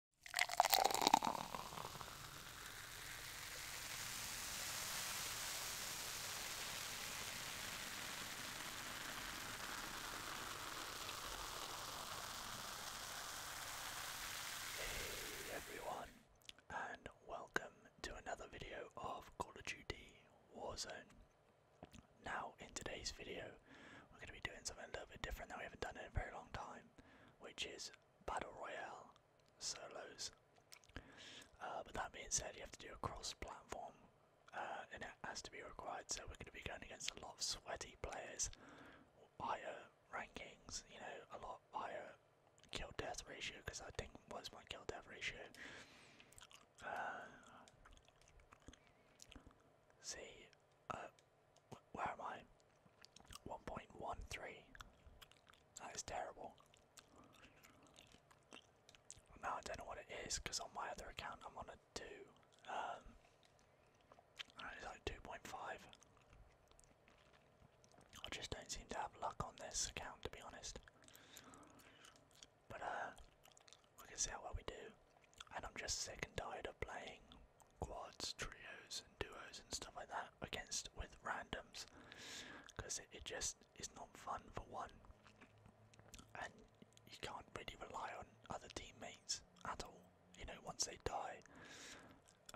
Hey everyone, and welcome to another video of Call of Duty Warzone. Now, in today's video, we're going to be doing something a little bit different that we haven't done in a very long time which is Battle Royale solos. Uh, but that being said, you have to do a cross platform uh, and it has to be required, so we're going to be going against a lot of sweaty players, higher rankings, you know, a lot higher kill death ratio because I think was my kill death ratio. Uh, see, where am I? 1.13. That is terrible. Now I don't know what it is because on my other account I'm on a 2. Um, it's like 2.5. I just don't seem to have luck on this account to be honest. But uh, we can see how well we do. And I'm just sick and tired of playing quads, trios, and duos, and stuff like that against with randoms because it, just is not fun for one, and you can't really rely on other teammates at all. You know, once they die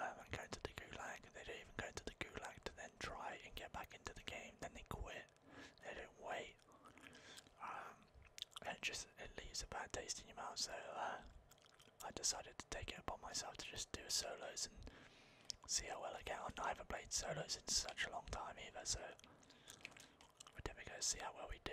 um, and go to the gulag, they don't even go to the gulag to then try and get back into the game. Then they quit. They don't wait. Um, and it just it leaves a bad taste in your mouth. So uh, I decided to take it upon myself to just do solos and see how well I get on. I have played solos in such a long time either, so we're definitely going to see how well we do.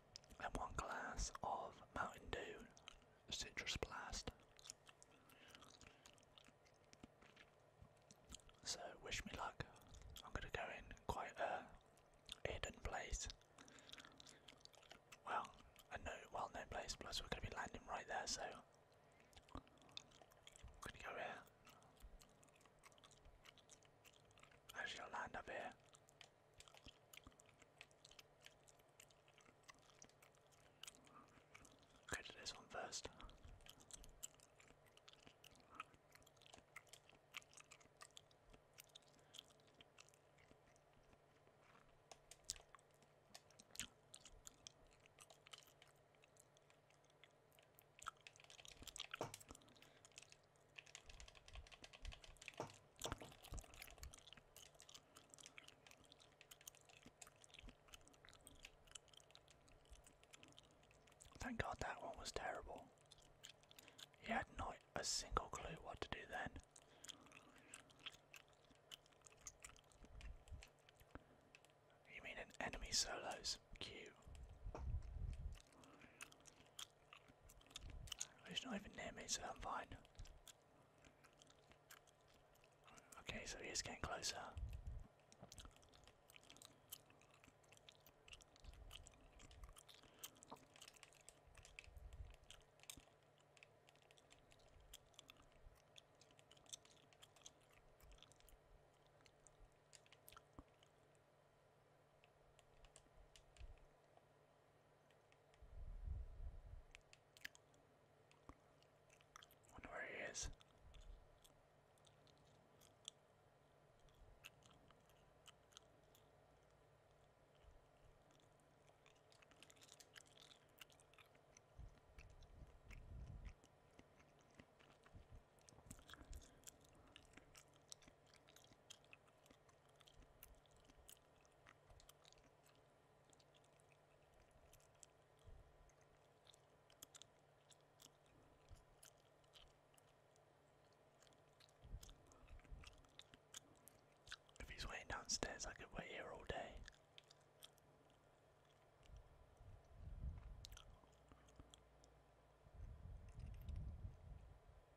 and one glass of Mountain Dew Citrus Blast. So, wish me luck. I'm gonna go in quite a hidden place. Well, a no, well known place, plus we're gonna be landing right there, so. I'm gonna go here. I'll land up here. Go to this one first. Thank God that one was terrible. He had not a single clue what to do then. You mean an enemy solos? Cute. He's not even near me, so I'm fine. Okay, so he's getting closer. Wonder where he is. If he's waiting downstairs, I could wait here all day.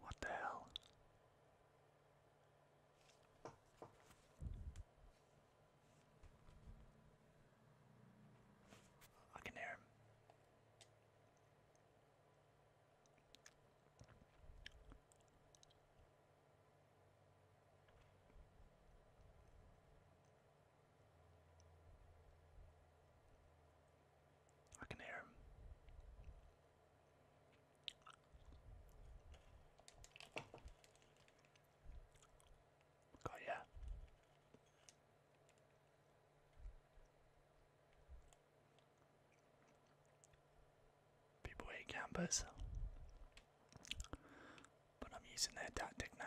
What the hell? I can hear him. I can hear him. Got ya. People hate campers, but I'm using their tactic now.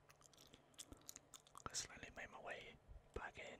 I slowly made my way back in.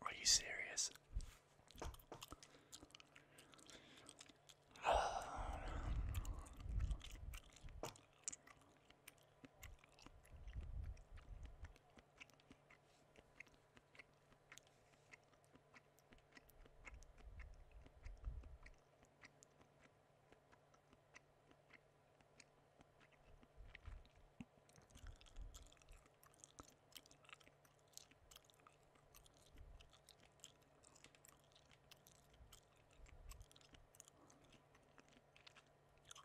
Are you serious?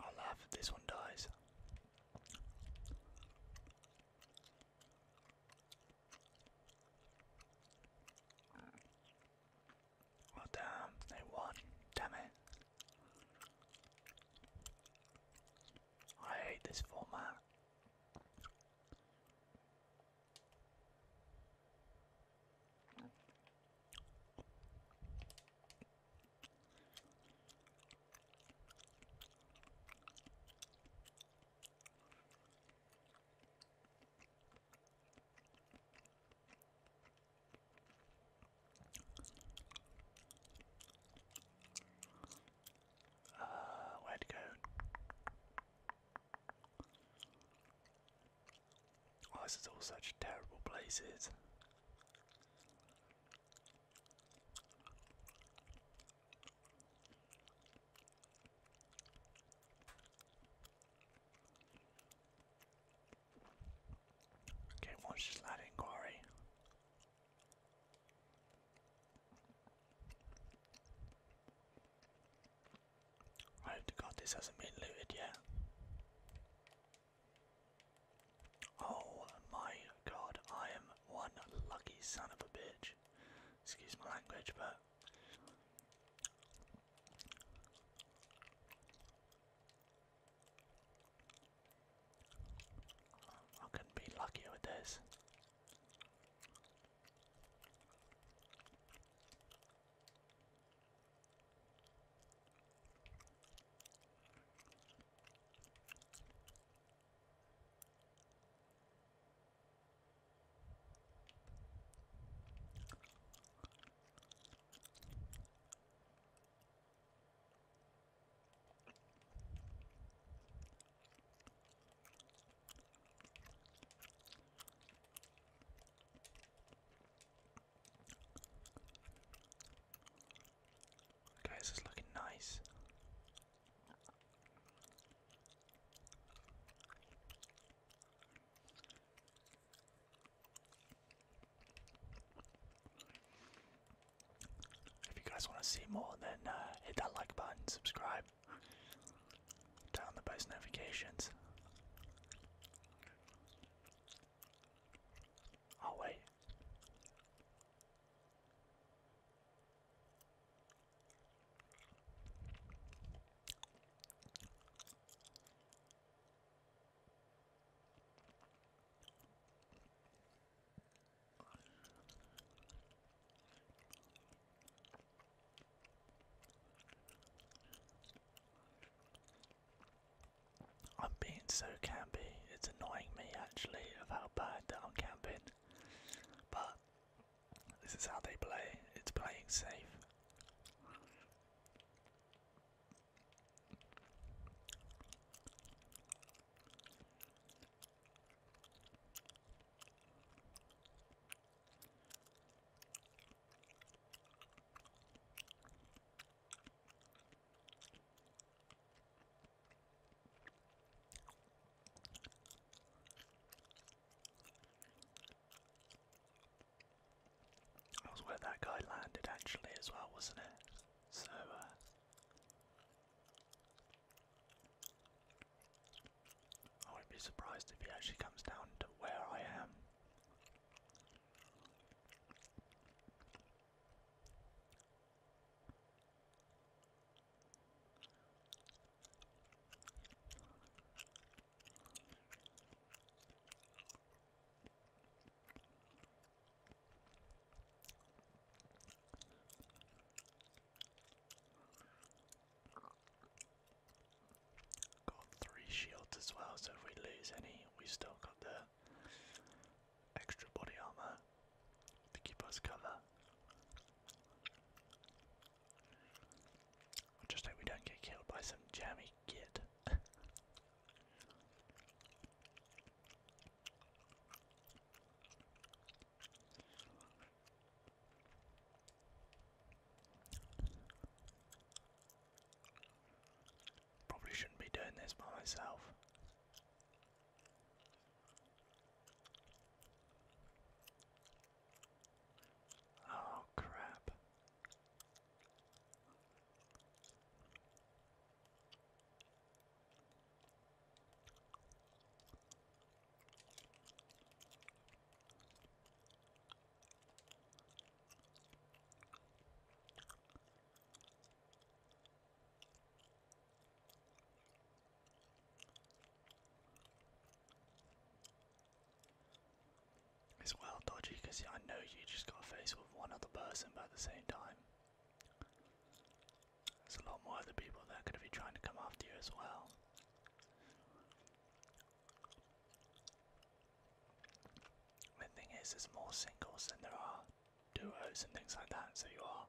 I'll laugh if this one dies. Oh damn, they won. Damn it. I hate this format. Uh, where'd to go? Oh, this is all such terrible places. Okay, watch this lad inquiry. I hope to God this hasn't been looted yet. Oh my god, I am one lucky son of a bitch. Excuse my language, but I could be luckier with this. Okay, this is looking nice. If you guys want to see more, then uh, hit that like button, subscribe, turn on the post notifications. Oh, wait. I'm being so campy, it's annoying me actually of how bad that I'm camping. But this is how they play. It's playing safe. That was where that guy landed actually as well, wasn't it? So uh, I wouldn't be surprised if he actually comes down to where I am. Got three shields as well, so if we lose any, we've still got the extra body armor to keep us cover. I just hope we don't get killed by some jammy kid. Probably shouldn't be doing this by myself. Oh, crap. It's well dodgy I know you just got to with one other person, but at the same time, there's a lot more other people that are be trying to come after you as well. The thing is, there's more singles than there are duos and things like that, so you are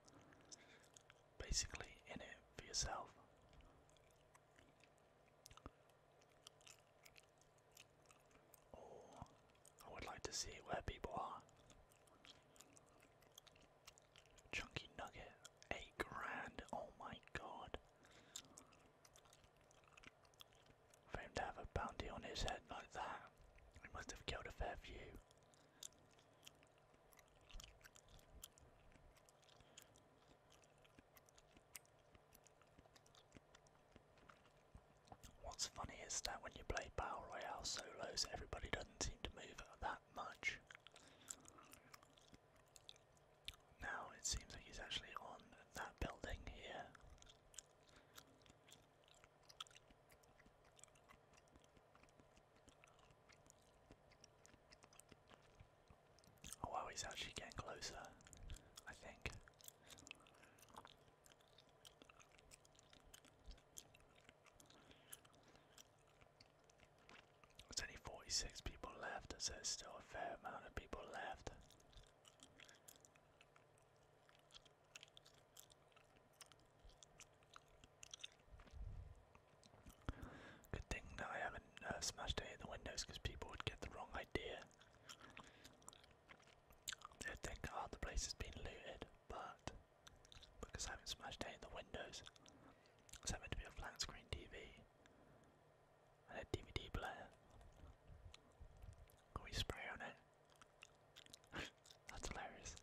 basically in it for yourself. Or I would like to see where people are. Chunky nugget, eight grand. Oh my god. For him to have a bounty on his head like that, he must have killed a fair few. What's funny is that when you play Battle Royale solos, everybody doesn't seem to move that much. Now it seems like he's actually on that building here. Oh wow, he's actually getting closer, I think. There's only 46 people left, so there's still a fair amount of people left. Good thing that I haven't uh, smashed any of the windows because people would get the wrong idea. They'd think, oh, the place has been looted, but because I haven't smashed any of the windows, it's meant to be a flat screen TV and a DVD player. Can we spray on it? That's hilarious.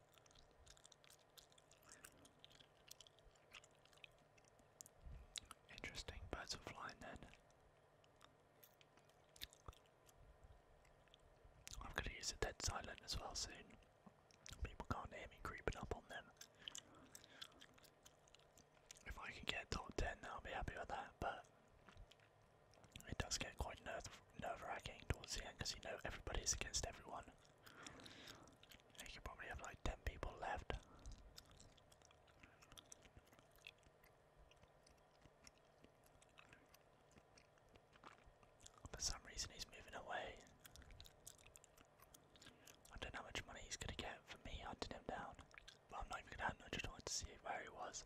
Interesting, birds are flying then. I'm gonna use a dead silent as well soon. People can't hear me creeping up on them. If I can get top 10, I'll be happy with that, but it does get quite nerve nerve wracking towards the end because you know everybody's against everyone. You could probably have like 10 people left. For some reason, he's moving away. I don't know how much money he's gonna get for me hunting him down. But I'm not even gonna hunt, I just wanted to see where he was.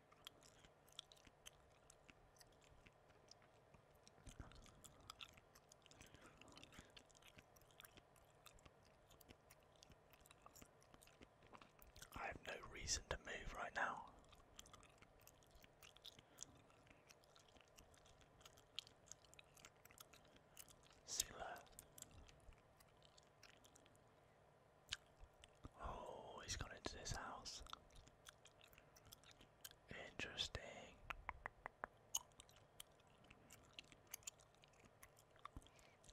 I have no reason to move right now. Silla Oh, he's gone into this house. Interesting.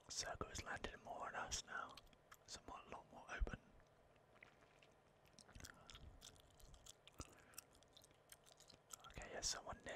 Circle is landing more on us now. It's a lot more open. Okay, there's someone there.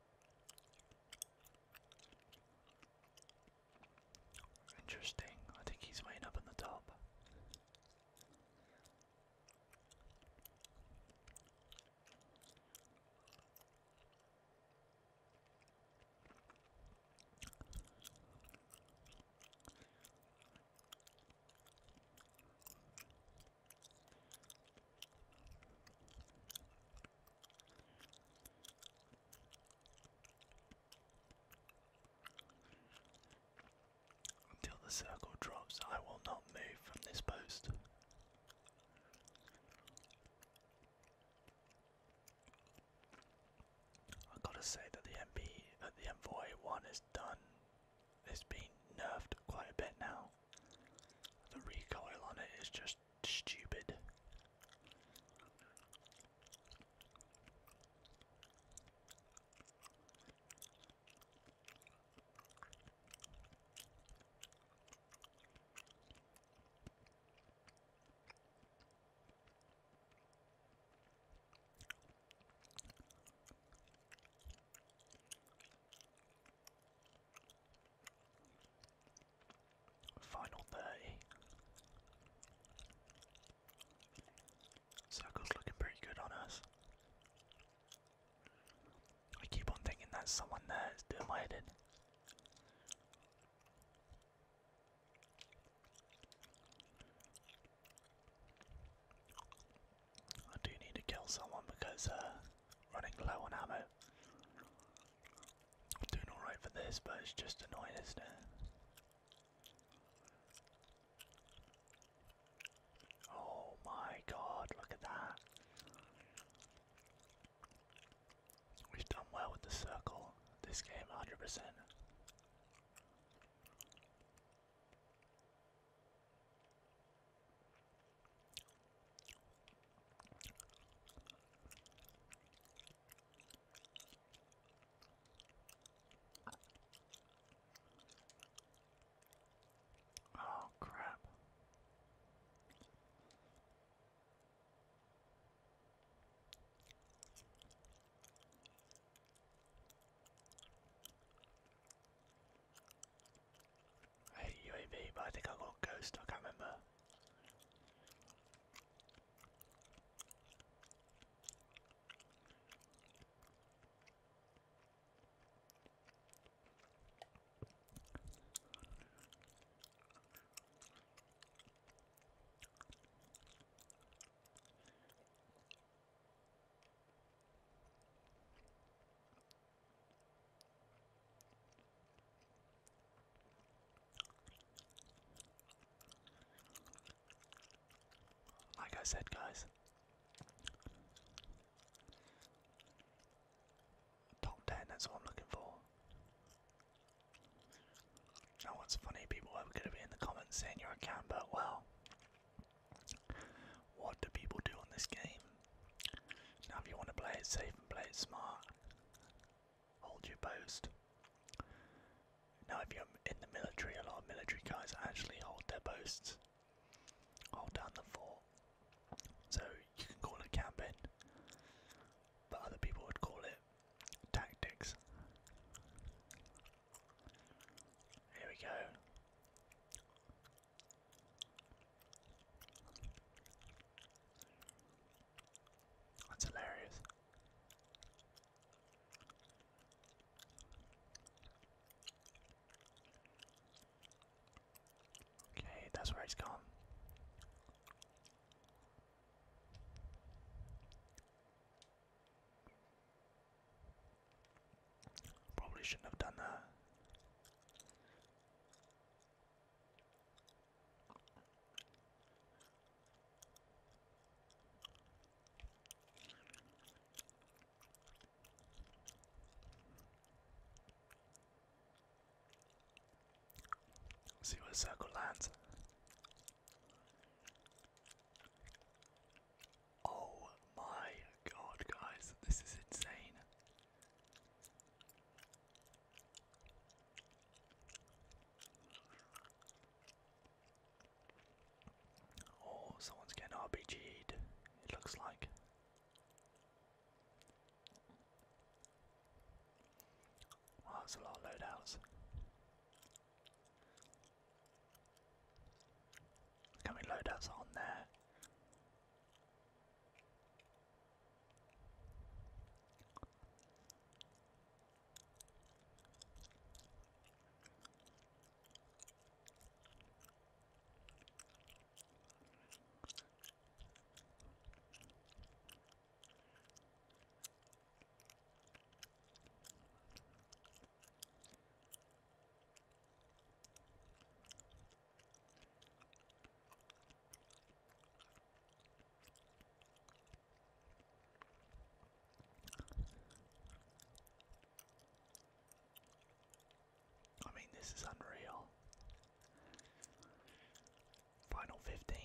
Interesting. I think he's waiting up on the top. Until the circle drops, I will not move from this post. I gotta say that the MP, that the Envoy one is done it's been nerfed quite a bit now. The recoil on it is just stupid. Final 30. Circle's looking pretty good on us. I keep on thinking that someone there is doing my head I do need to kill someone because uh running low on ammo. I'm doing alright for this, but it's just annoying, isn't it? Oh my god, look at that. We've done well with the circle, this game 100%. Oh, crap. I hate UAV, but I think I got Ghost, I can't remember. Like I said, guys, top 10, that's what I'm looking for. Now, what's funny, people are going to be in the comments saying you're a camper. Well, what do people do on this game? Now, if you want to play it safe and play it smart, hold your post. Now, if you're in the military, a lot of military guys actually hold their posts, hold down the fort. So you can call it camping, but other people would call it tactics. Here we go. That's hilarious. Okay, that's where he's gone. Probably shouldn't have done that. see where circle lands. Oh my god, guys, this is insane. Oh, someone's getting RPG'd, it looks like. Wow, that's a lot of loadouts. Can we load us on there? I mean, this is unreal. Final 15.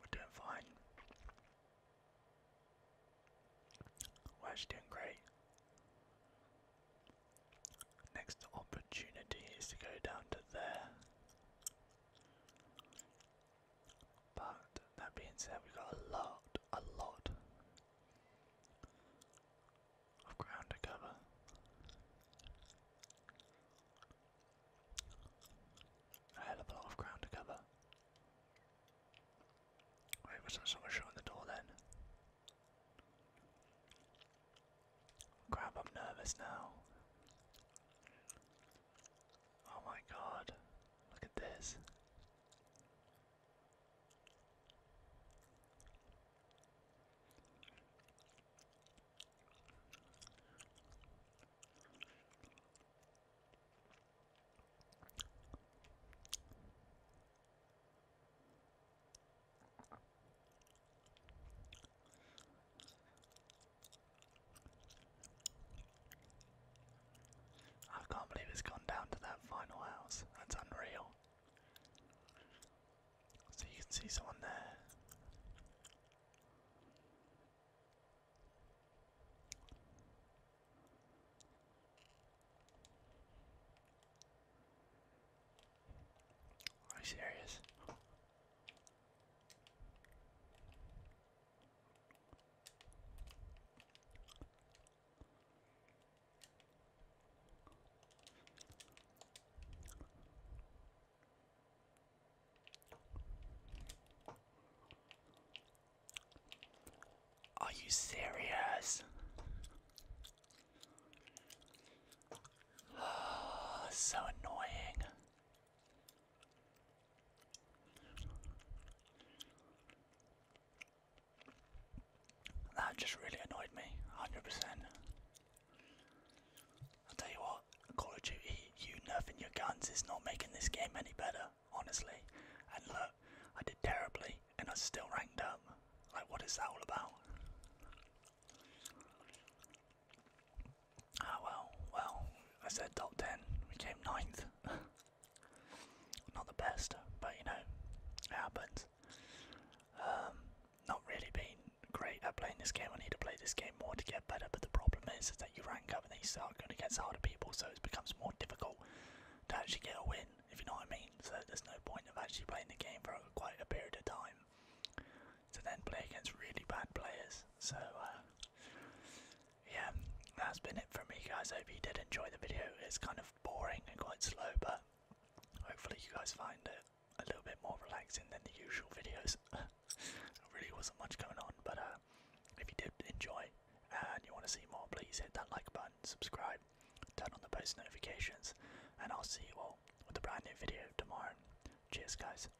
We're doing fine. We're doing great. Next opportunity is to go down to there. But that being said, we've got a lot, a lot of ground to cover. A hell of a lot of ground to cover. Wait, was there the door then? Crap, I'm nervous now. Oh my god, look at this. I can't believe it's gone down to that final house. That's unreal. So you can see someone there. Are you serious? Are you serious? so annoying. That just really annoyed me, 100%. percent i tell you what, Call of Duty, you nerfing your guns is not making this game any better, honestly. And look, I did terribly and I still ranked up. Like, what is that all about? Ah well, well, I said top 10, we came ninth. not the best, but you know, it happens. Um, not really been great at playing this game, I need to play this game more to get better, but the problem is, is that you rank up and then you start going against harder people, so it becomes more difficult to actually get a win, if you know what I mean. So there's no point of actually playing the game for quite a period of time to then play against really bad players. So, uh, yeah, that's been it for me, guys. hope you did enjoy the video. It's kind of boring and quite slow, but hopefully, you guys find it a little bit more relaxing than the usual videos. really wasn't much going on, but uh, if you did enjoy and you want to see more, please hit that like button, subscribe, turn on the post notifications, and I'll see you all with a brand new video tomorrow. Cheers, guys.